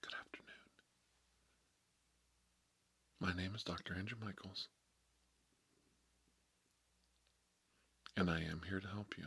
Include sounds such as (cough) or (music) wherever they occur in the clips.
Good afternoon. My name is Dr. Andrew Michaels, and I am here to help you.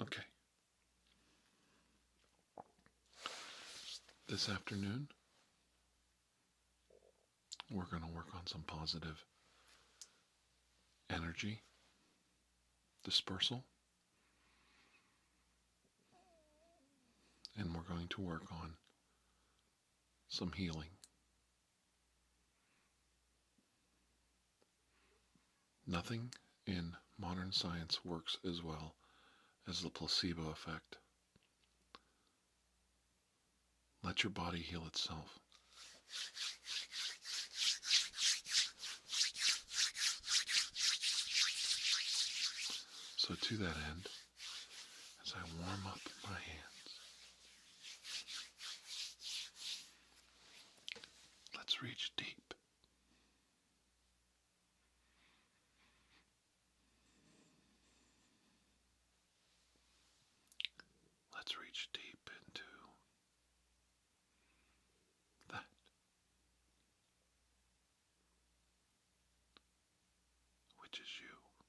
Okay. This afternoon, we're going to work on some positive energy dispersal and we're going to work on some healing. Nothing in modern science works as well as the placebo effect. Let your body heal itself. So, to that end, as I warm up my hands, let's reach deep. Let's reach deep into that which is you. Okay.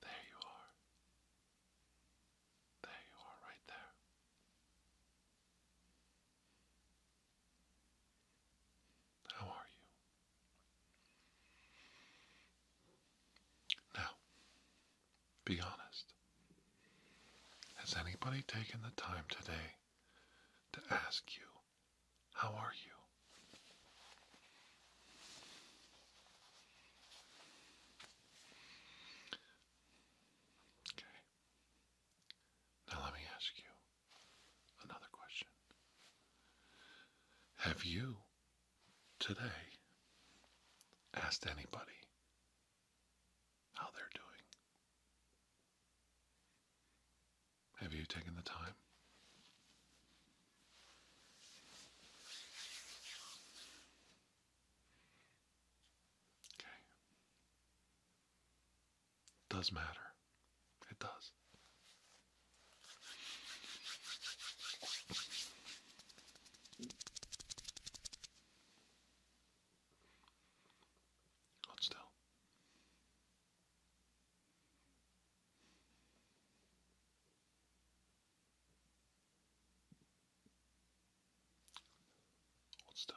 There you are. There you are, right there. How are you? Now, be honest. Has anybody taken the time today to ask you, how are you? Okay. Now let me ask you another question. Have you today ask anybody how they're doing? Have you taken the time? Okay. Does matter. It does. Hold still. Hold still.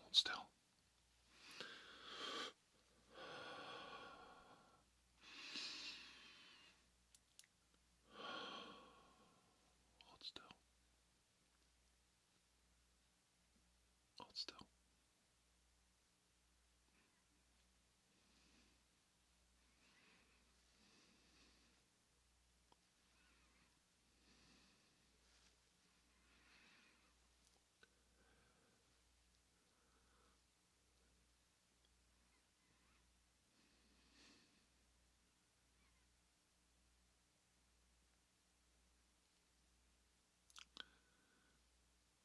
Hold still. Hold still. Hold still.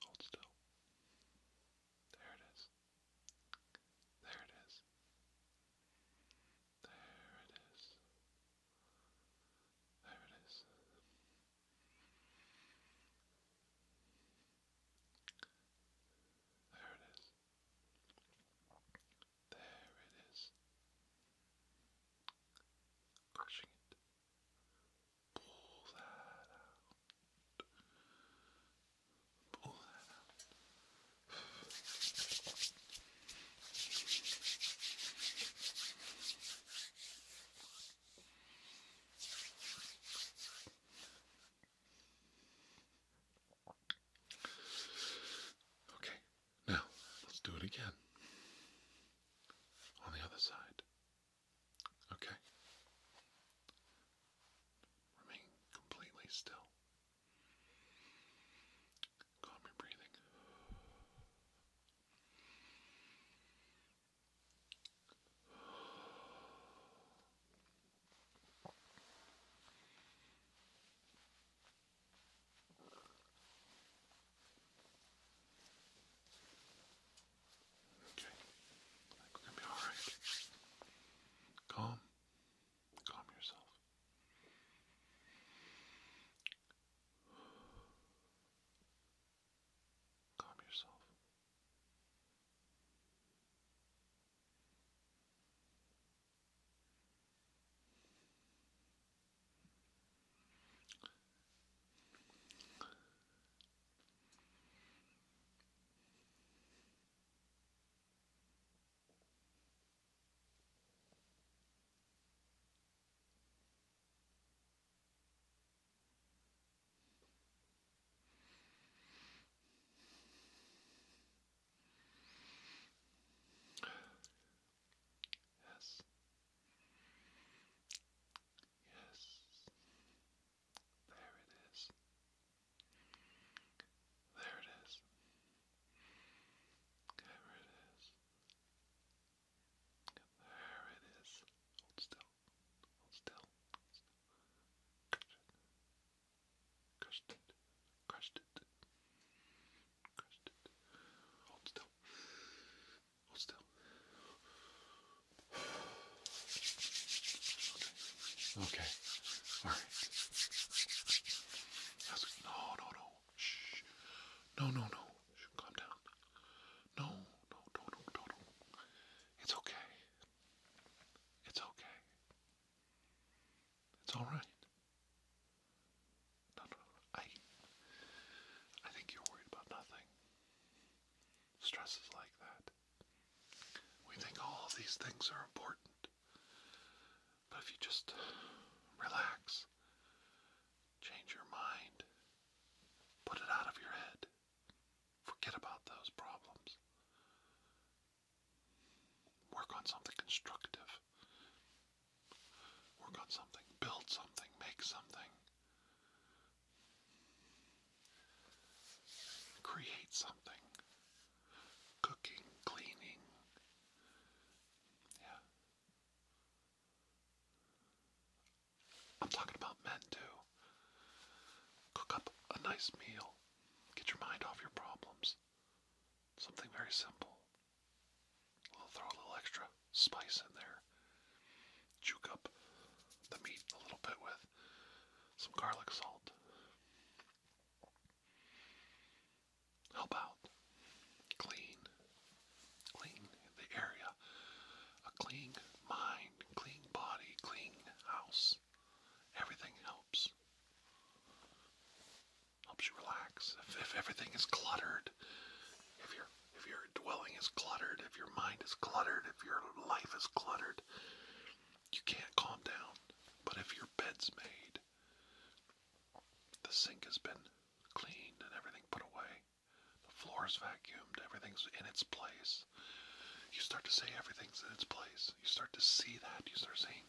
Hold still. There it is. There it is. There it is. There it is. There it is. There it is. Crushing it. Pull that out. Pull that out. Okay, now let's do it again on the other side. Okay, remain completely still. Calm your breathing. Okay, we're gonna be alright. Calm, calm yourself. Calm yourself. Yes. Yes. There it is. There it is. There it is. There it is. Hold still. Hold still. Crushed it. Crushed it. Crushed it. Hold still. Hold still. Okay. Okay. Alright. No, no, no. Shh. No, no, no. Calm down. No, no, don't, don't, don't. It's okay. It's okay. It's all right. No, no, I. I think you're worried about nothing. Stress is like that. We think all these things are important. But if you just relax, change your mind, put it out of your head, forget about those problems, work on something constructive, work on something, build something, make something. Create something. Cooking, cleaning, yeah. I'm talking about men too. Cook up a nice meal. Get your mind off your problems. Something very simple. We'll throw a little extra spice in there. Juke up the meat a little bit with some garlic salt help out, clean, clean the area, a clean mind, clean body, clean house. Everything helps. Helps you relax. If, everything is cluttered, if your if your dwelling is cluttered, if your mind is cluttered, if your life is cluttered, you can't calm down. But if your bed's made, the sink has been cleaned and everything put away. The floor is vacuumed, everything's in its place. You start to say everything's in its place. You start to see that. You start saying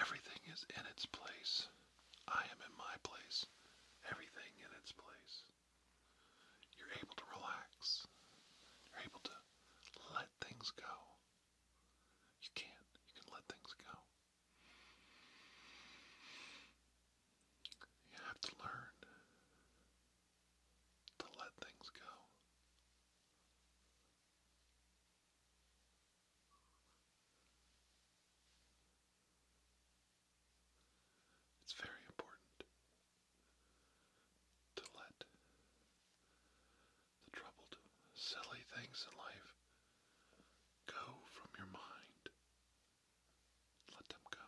everything is in its place. I am in my place. Everything in its place. You're able to relax. You're able to let things go. You can. You can let things go. You have to learn to let things go. It's very important to let the troubled, silly things in life go from your mind. Let them go.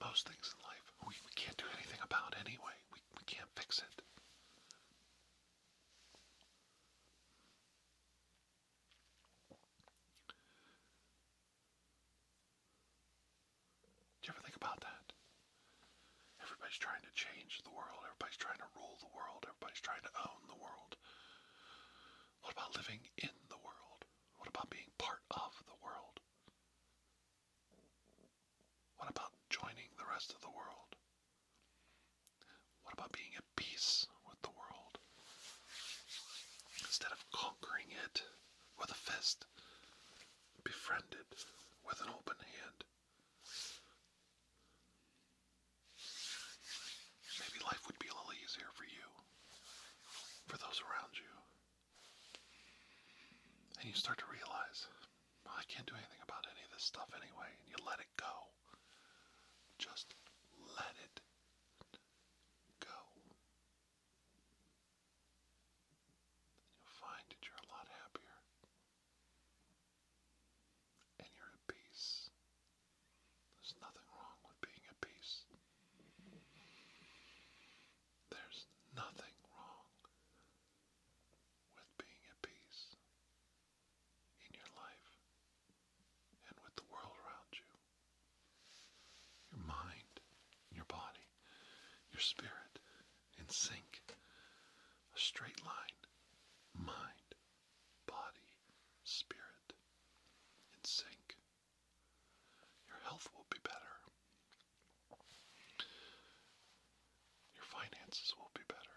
Most things in life we, can't do anything about anyway. We, we can't fix it. Do you ever think about that? Everybody's trying to change the world, everybody's trying to rule the world, everybody's trying to own the world. What about living in the world? What about being part of the world? What about joining the rest of the world? What about being at peace with the world? Instead of conquering it with a fist, befriend it with an open hand. Maybe life would be a little easier for you, for those around you. And you start to realize, I can't do anything about any of this stuff anyway, and you let it go. Just let it go. You'll find that you're a lot happier and you're at peace. There's nothing wrong with being at peace. There's nothing wrong with being at peace in your life and with the world around you. Your mind, your body, your spirit in sync. A straight line. Mind, body, spirit in sync. Your health will be better. Your finances will be better.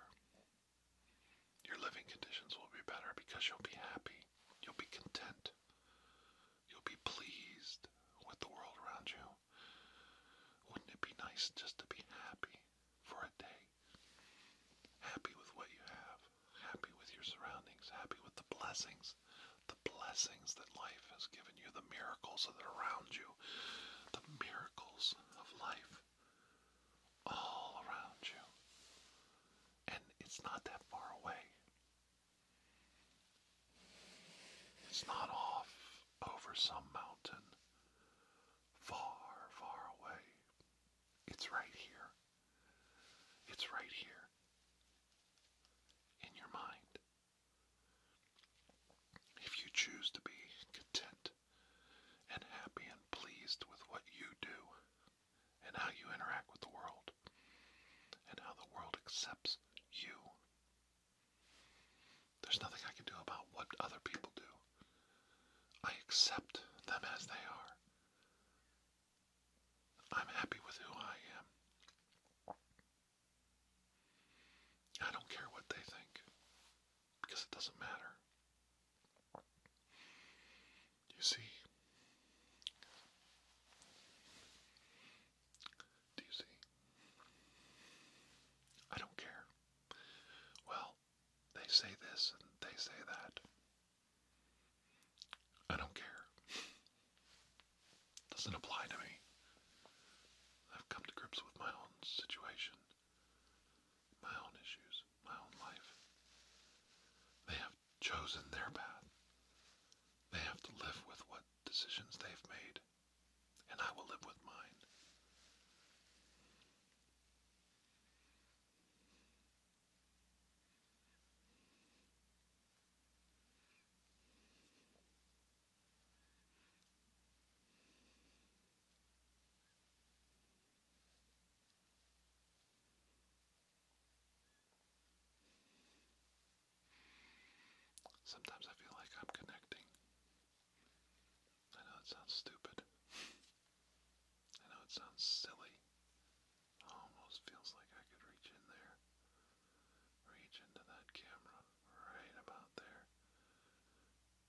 Your living conditions will be better because you'll be happy, you'll be content, you'll be pleased with the world around you. Wouldn't it be nice just to be happy for a day? Happy with what you have, happy with your surroundings, happy with the blessings, the blessings that life has given you, the miracles that are around you, the miracles of life all around you. And it's not that far away. It's not off over some mountain far, far away. It's right here. It's right here in your mind. If you choose to be content and happy and pleased with what you do, and how you interact with the world and how the world accepts you. There's nothing I can do about what other people do. I accept them as they are. I'm happy with who I am. I don't care what they think because it doesn't matter. You see? Do you see? I don't care. Well, they say this and they say that. I don't care. Doesn't apply to me. I've come to grips with my own situation, my own issues my own life. They have chosen their path. They have to live with what decisions they've made, and I will live with mine. Sometimes I feel like I'm connecting. I know it sounds stupid. I know it sounds silly. almost feels like I could reach in there. Reach into that camera right about there.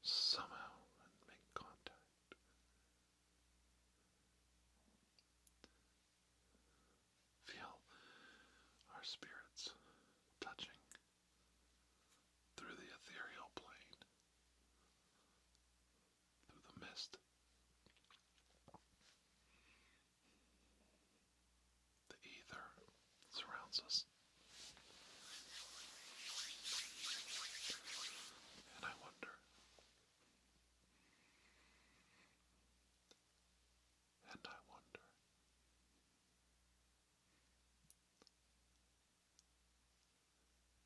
Somehow make contact. Feel our spirits touching through the ethereal plane, through the mist, the ether surrounds us. And I wonder and I wonder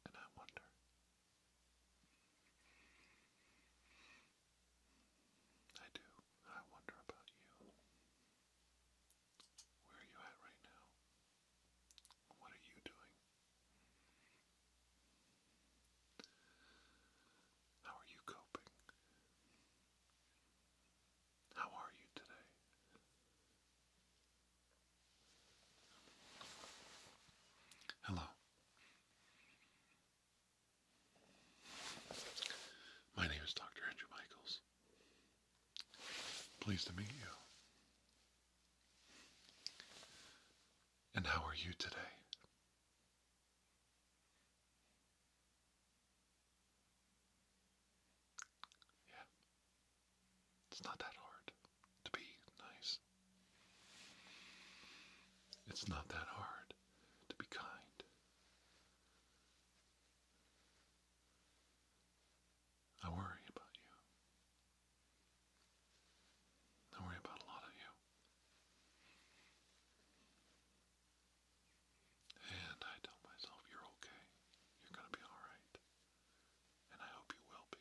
and I wonder I do. I wonder about you. Where are you at right now? What are you doing? How are you coping? How are you today? Hello. My name is Dr. Andrew Michaels. Pleased to meet you. And how are you today? Yeah. It's not that hard to be nice. It's not that hard to be kind. I worry about you. Don't worry about a lot of you. And I tell myself you're okay. You're going to be alright. And I hope you will be.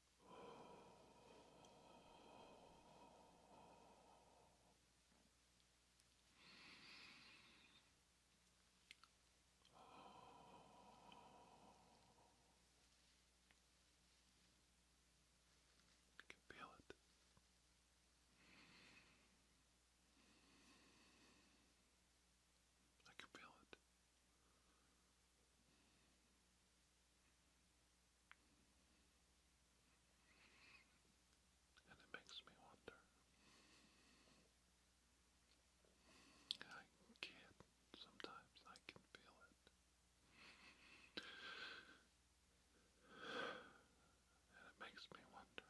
You can feel it. I can feel it. And it makes me wonder. I can't, sometimes I can feel it. And it makes me wonder.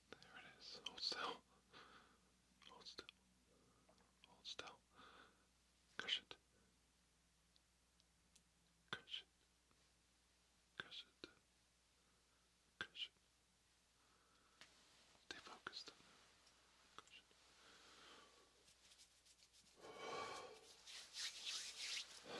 There it is. Hold still. Hold still. Hold still. Crush it. Crush it. Crush it. Crush it. Stay focused. Crush it. Crush it.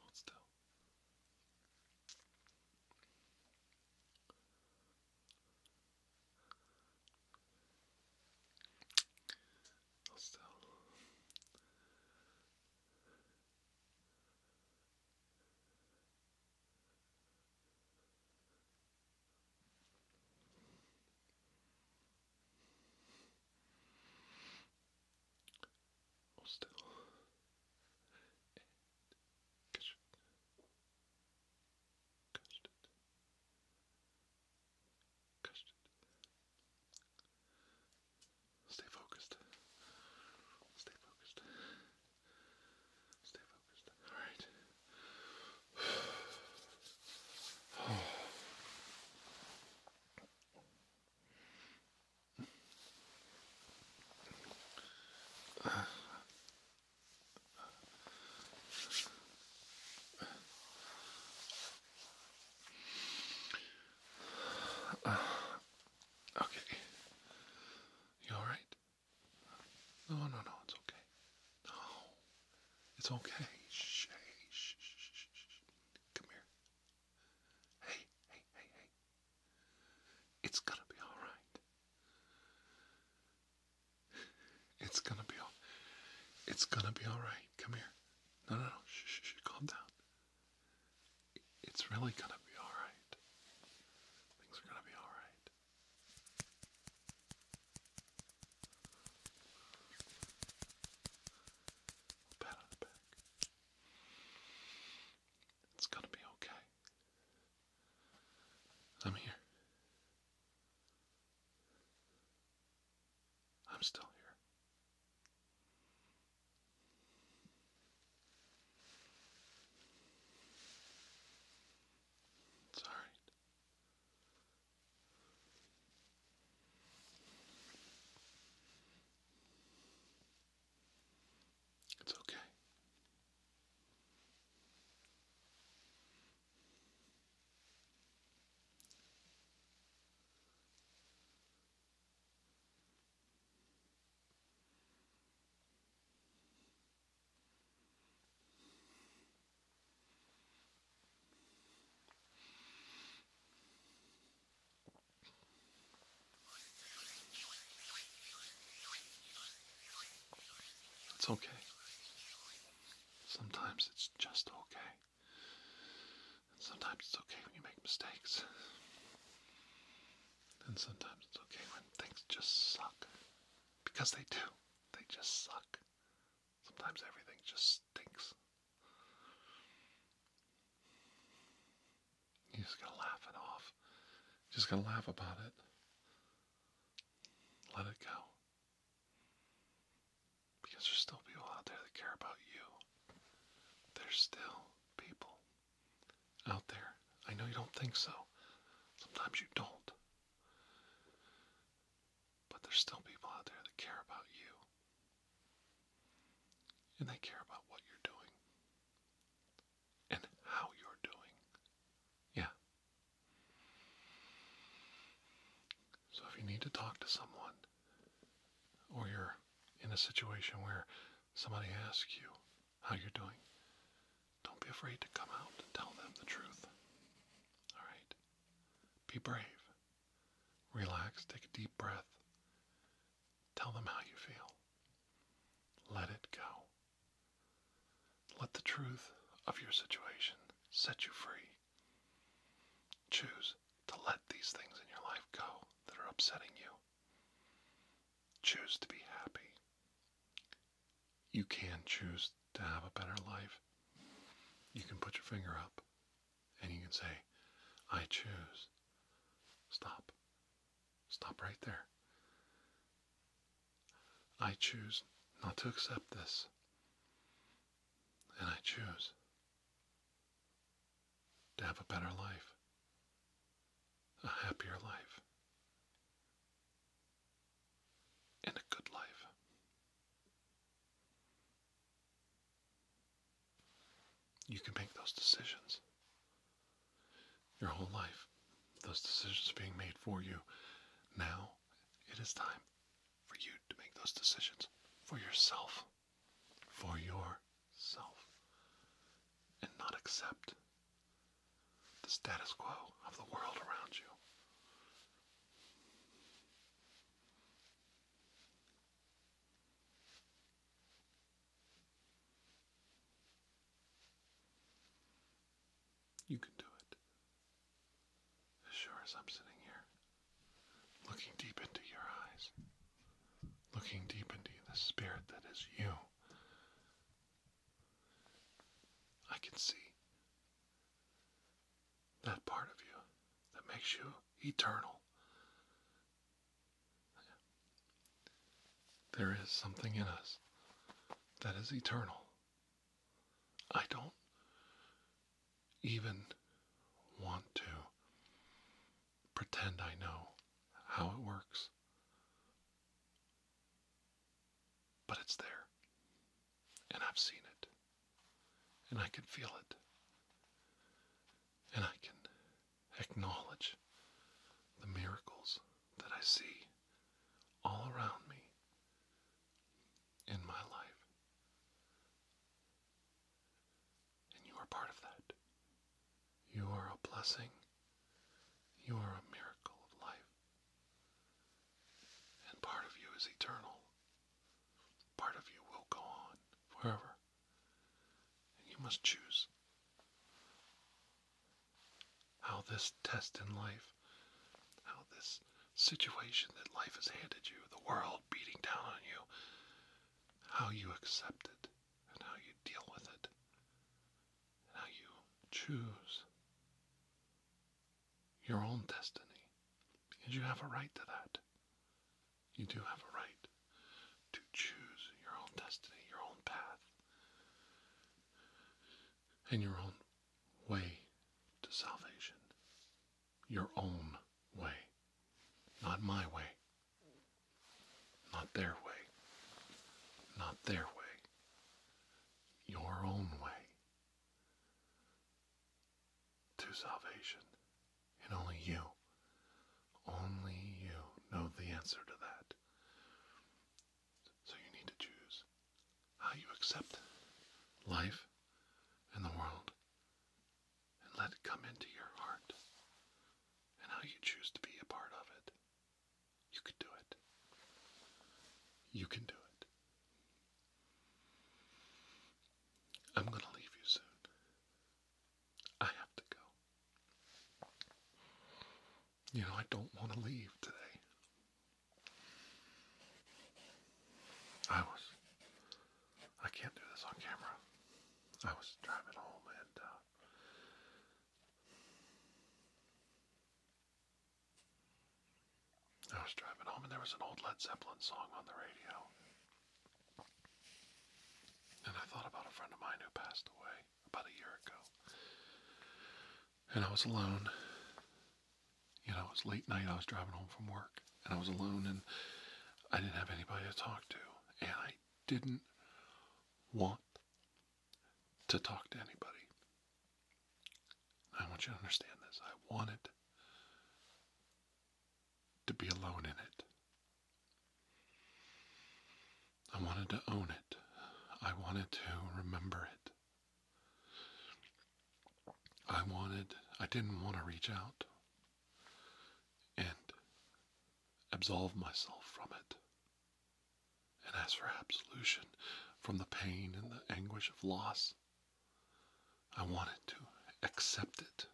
Hold still. Hold still. Hold still. And catch it. Stay focused. Stay focused. All right. (sighs) Okay. You all right? No, no, no, it's okay. No, it's okay. Shh, hey, shh, shh, shh, shh. Come here. Hey, hey, hey, hey. It's gonna be all right. It's gonna be all. It's gonna be all right. Come here. No, no, no. Shh, shh, shh. Calm down it's really gonna be alright. Things are gonna be alright. Pat on the back. It's gonna be okay. I'm here. I'm still here. It's all right. It's okay. It's okay. Sometimes it's just okay. sometimes it's okay when you make mistakes. And sometimes it's okay when things just suck. Because they do. They just suck. Sometimes everything just stinks. You just gotta laugh it off. just gotta laugh about it. Let it go. Because there's still people out there that care about you. There's still people out there. I know you don't think so. Sometimes you don't. But there's still people out there that care about you. And they care about what you're doing and how you're doing. Yeah. So if you need to talk to someone, or you're in a situation where somebody asks you, how you're doing. Don't be afraid to come out and tell them the truth. All right? Be brave. Relax, take a deep breath. Tell them how you feel. Let it go. Let the truth of your situation set you free. Choose to let these things in your life go that are upsetting you. Choose to be happy you can choose to have a better life. You can put your finger up and you can say, I choose. Stop. Stop right there. I choose not to accept this. And I choose to have a better life a happier life, and a good life. You can make those decisions your whole life. Those decisions are being made for you. Now it is time for you to make those decisions for yourself. For yourself. And not accept the status quo of the world around you. You can do it. As sure as I'm sitting here, looking deep into your eyes, looking deep into the spirit that is you, I can see that part of you that makes you eternal. There is something in us that is eternal. I don't even want to pretend I know how it works but it's there. And I've seen it. And I can feel it. And I can acknowledge the miracles that I see all around me in my life. And you are part of that. You are a blessing. You are a miracle of life. And part of you is eternal. Part of you will go on forever. And you must choose how this test in life, how this situation that life has handed you, the world beating down on you, how you accept it and how you deal with it. Now you choose your own destiny because you have a right to that. You do have a right to choose your own destiny, your own path, and your own way to salvation. Your own way, not my way, not their way. Not their way. Your own way to salvation. And only you, only you know the answer to that. So you need to choose how you accept life and the world and let it come into your heart and how you choose to be a part of it. You can do it. You can do it. I'm going to leave you soon. I have to go. You know, I don't want to leave today. I was, I can't do this on camera. I was driving home and uh, I was driving home and there was an old Led Zeppelin song on the radio. And I thought about a friend of mine who passed away about a year ago. And I was alone. You know, it was late night. I was driving home from work. And I was alone and I didn't have anybody to talk to. And I didn't want to talk to anybody. I want you to understand this. I wanted to be alone in it. I wanted to own it. I wanted to remember it. I wanted, I didn't want to reach out and absolve myself from it and as for absolution from the pain and the anguish of loss. I wanted to accept it.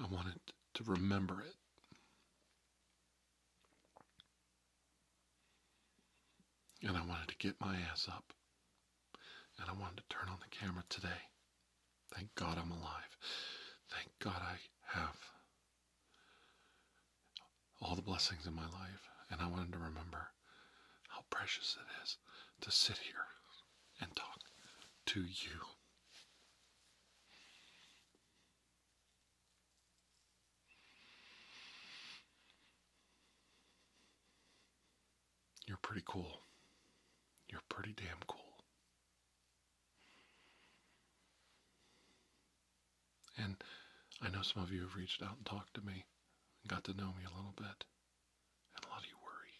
I wanted to remember it. And I wanted to get my ass up. And I wanted to turn on the camera today. Thank God I'm alive. Thank God I have all the blessings in my life, and I wanted to remember how precious it is to sit here and talk to you. You're pretty cool. You're pretty damn cool. And I know some of you have reached out and talked to me and got to know me a little bit. And a lot of you worry.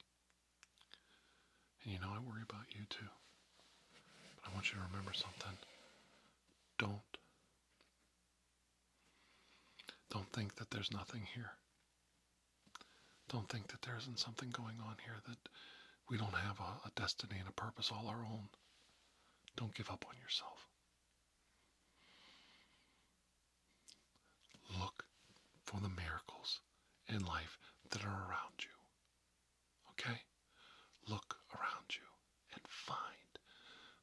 And you know, I worry about you too. But I want you to remember something. Don't. Don't think that there's nothing here. Don't think that there isn't something going on here that we don't have a destiny and a purpose all our own. Don't give up on yourself. Look for the miracles in life that are around you. Okay? Look around you and find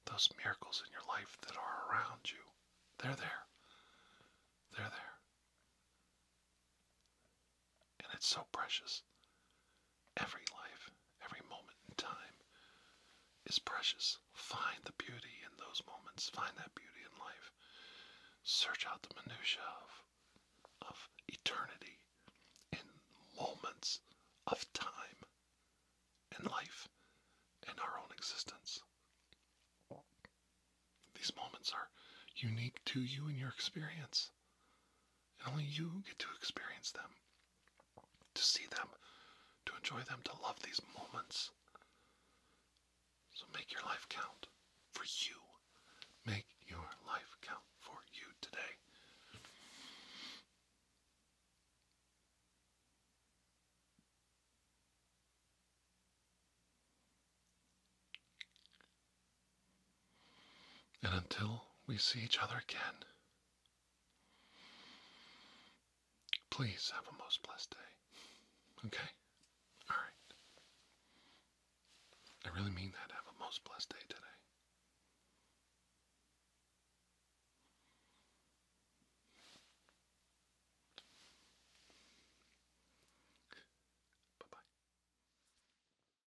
those miracles in your life that are around you. They're there. They're there. And it's so precious. Every life, every moment in time is precious. Find the beauty in those moments. Find that beauty in life. Search out the minutiae of, of eternity in moments of time and life in our own existence. These moments are unique to you and your experience and only you get to experience them, to see them, to enjoy them, to love these moments. So make your life count for you. Make your life count for you today. And until we see each other again, please have a most blessed day. Okay? All right. I really mean that. Have a most blessed day today.